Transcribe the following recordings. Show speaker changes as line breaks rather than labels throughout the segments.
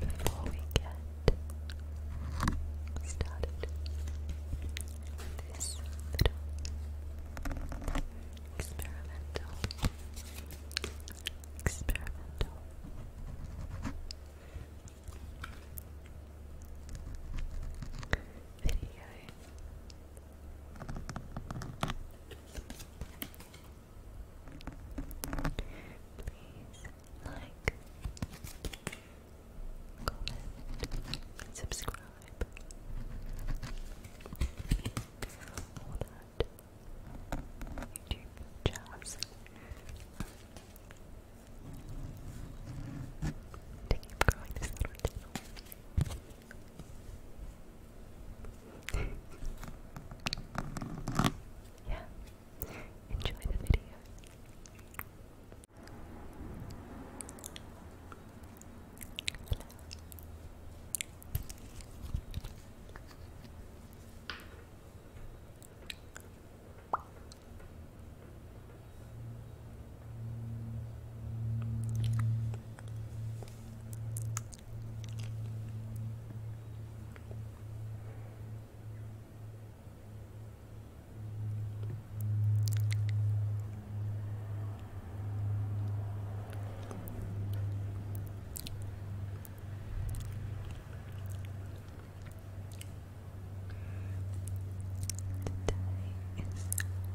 Before we get started this little experimental, experimental video. Please like, comment, subscribe, all that YouTube jazz. To keep growing this little channel yeah, enjoy the video. Today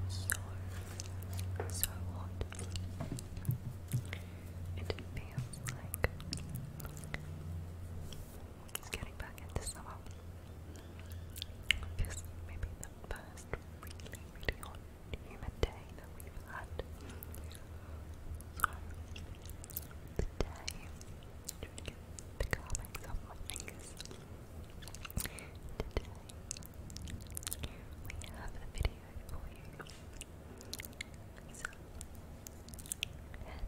is so so hot. It feels like it's getting back into summer. It maybe the first really, really hot humid day that we've had. So, today, to get the carvings off Today, we have a video for you. So, and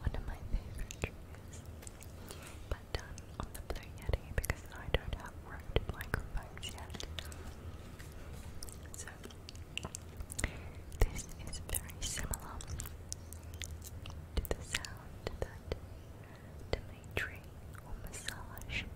one of my favorite triggers, but done on the Blue Yeti because I don't have road microphones yet. This is very similar to the sound that Dimitri will massage. massage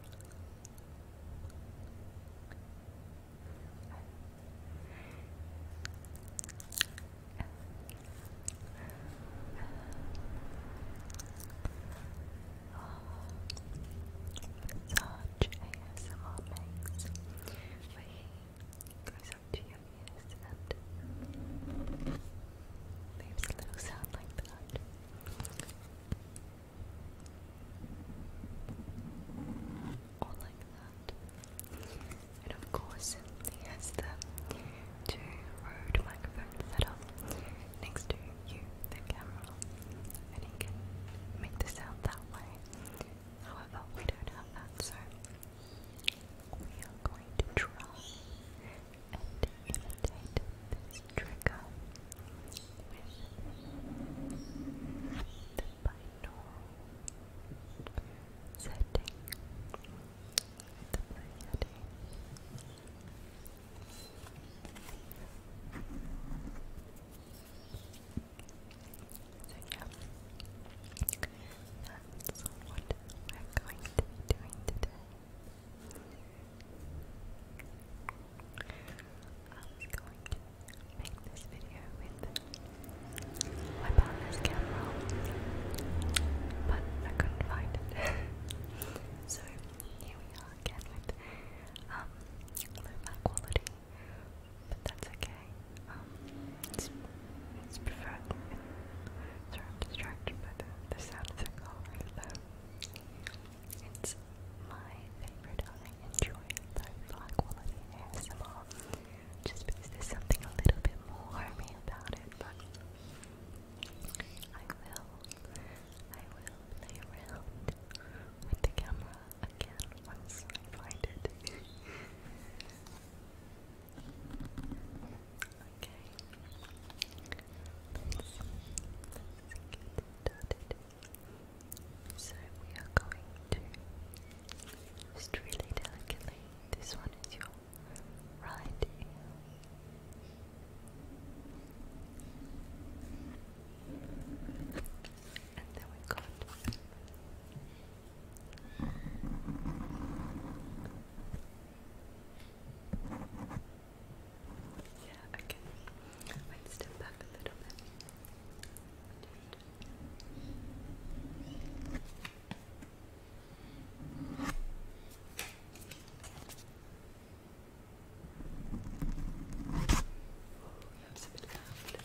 ASMR makes away, goes up to your and leaves a little sound like that. Or like that. And of course, he has the two Rode microphones set up next to you, the camera, and he can make the sound that way. However, we don't have that, so we are going to try and imitate this trigger with the binaural setting, so yeah, that's what we're going to be doing today. I was going to make this video with my partner's camera, but I couldn't find it. so here we are again with um, low quality but that's okay. Um, it's, it's preferred. I'm distracted by the, the sound of the car, though. It's my favorite. I enjoy the high quality ASMR just because there's something a little bit more homey about it, but I will, I will play around with the camera again once I find it. okay. Let's, get started. So we are going to just really delicately. This one is your right And then we got yeah, okay. Wait, step back a little bit. Oh, that's a bit loud.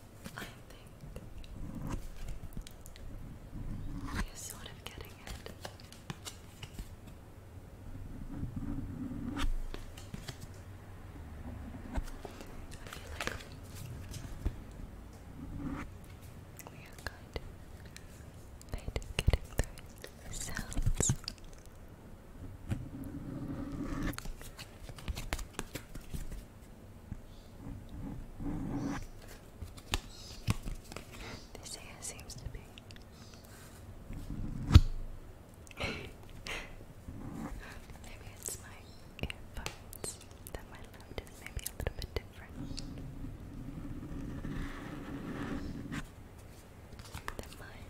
I think you're sort of getting it. I feel like we are good at getting those sounds. This hair seems to be. maybe it's my earphones that my left is maybe a little bit different than mine.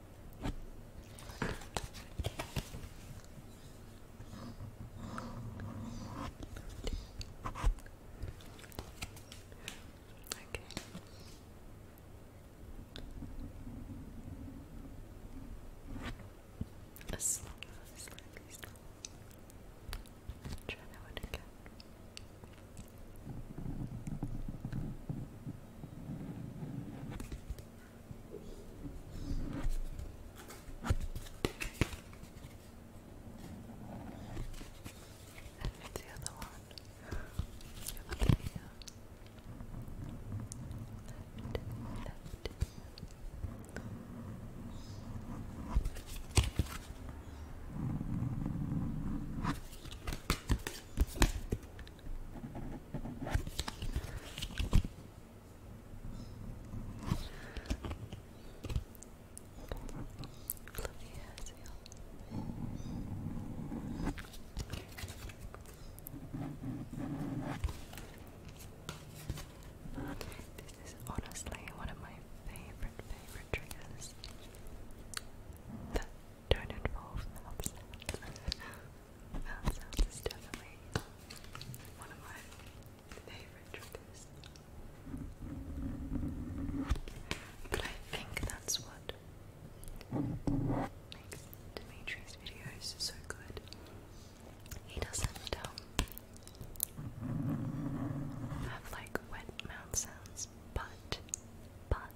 Okay. A slightly, slightly, slightly. Try that again. And the other one. Left, left, left. This is honestly one of my favorite, favorite triggers don't involve mouth sounds. mouth sounds is definitely one of my favourite triggers. But I think that's what makes Dimitri's videos so good. He doesn't um, have like wet mouth sounds, but, but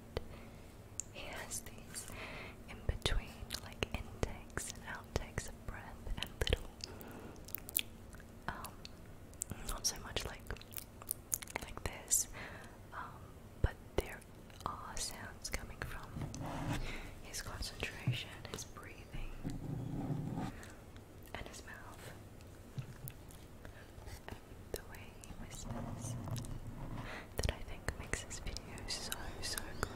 he has these in between, like intakes and outtakes of breath, and little, um, not so much like like this, um, but there are sounds coming from his concentration, his breathing, and his mouth, and the way whispers that I think makes this video so, so good.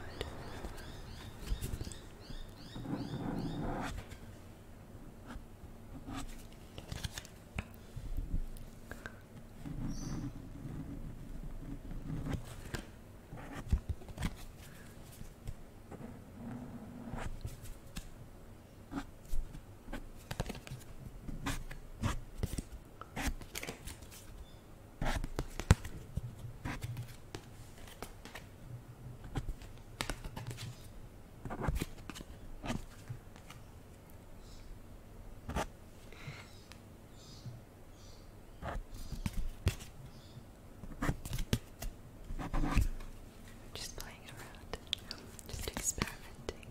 Just playing around, just experimenting.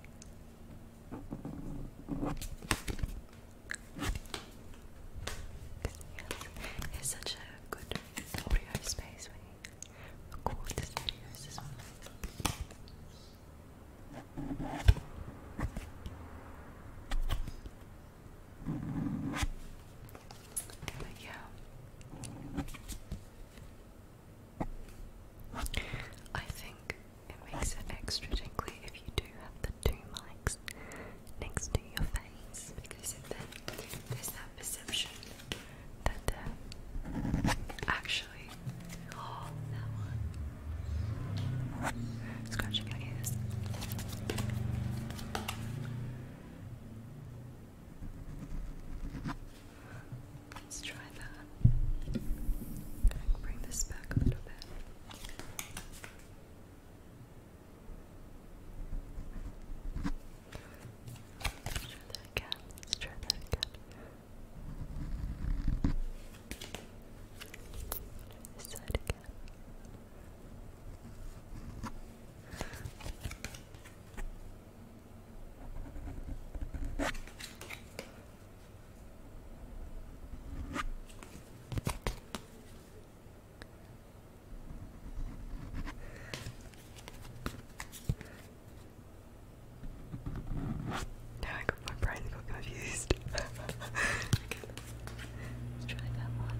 Yes, it's such a good audio space when you record this video. as well. I think it makes it extra tingly if you do have the two mics next to your face because then there's that perception that uh, actually, oh, that one, scratching your ears. Let's try that. Bring this back a little bit. Let's try that again. try that again. This side again. Now I got my brain confused. let's try that one.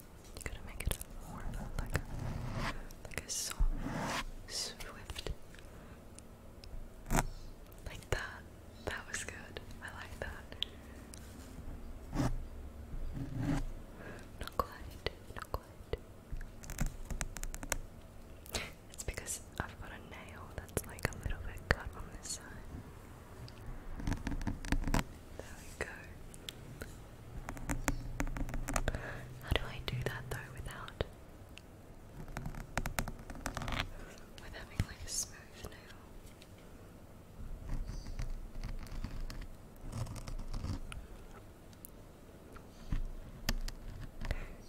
Gonna make it more like like a song, swift, like that. That was good. I like that. Not quite. Not quite. It's because I've got a nail that's like a little bit cut on this side. There we go. How do I do that though without with having like a smooth nail?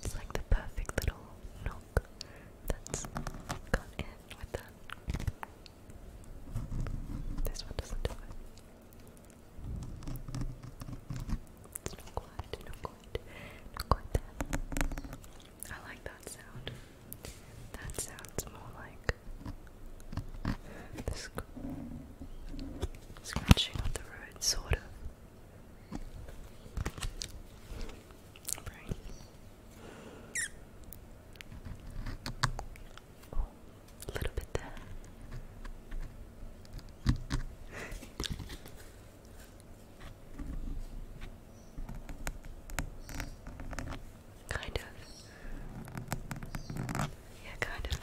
It's like the perfect little knock that's in with that. This one doesn't do it. It's not quite, not quite, not quite I like that sound. That sounds more like the scratching on the road, sort of a little bit there. kind of. Yeah, kind of.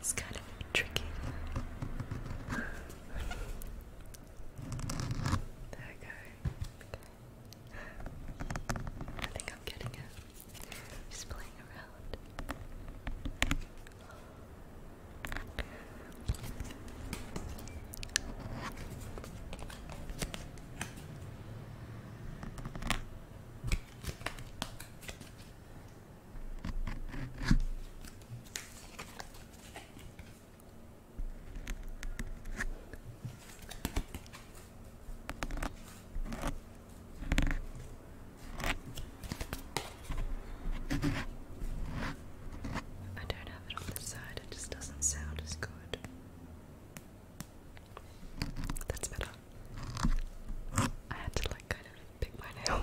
It's kind of tricky. Okay. I think I'm getting it. Just playing around. I don't have it on this side, it just doesn't sound as good. That's better. I had to like kind of pick my nail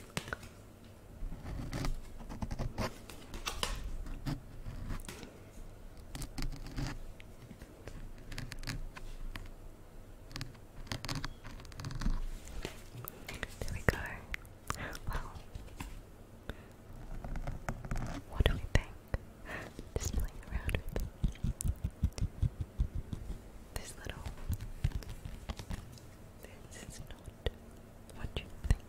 There we go. Well, what do we think? Just playing around with this little. This is not what you think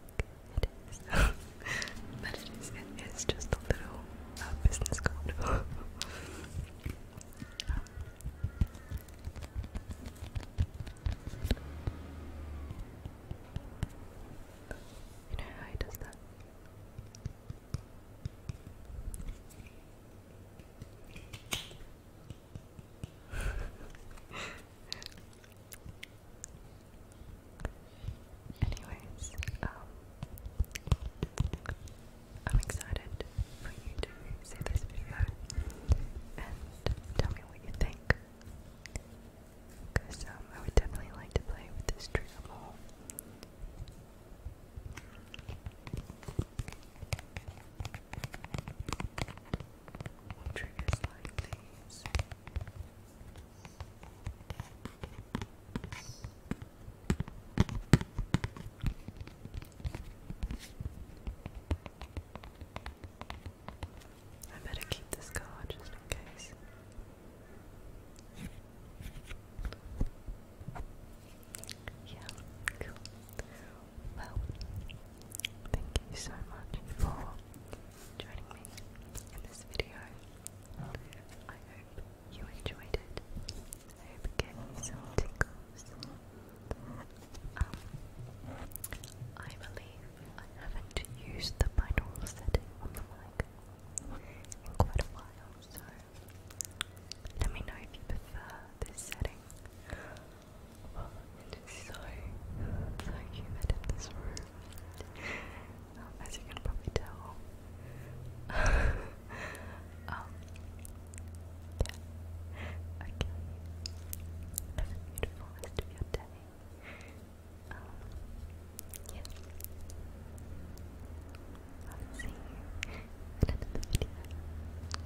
it is. but it is, it is just a little uh, business card. Um, you know how he does that? Anyways, um, I'm excited for you to see this video and tell me what you think. Because um, I would definitely like to play with this trigger We'll I better keep this card just in case. Yeah, cool. Well, thank you so much for joining me in this video. I hope you enjoyed it. I hope it gave some tickles. Um, I believe I haven't used the binaural setting on the mic in quite a while, so let me know if you prefer this setting so, so humid in this room, um, as you can probably tell. um, yeah. Okay. Have a beautiful rest of your day. Um, see you in another video.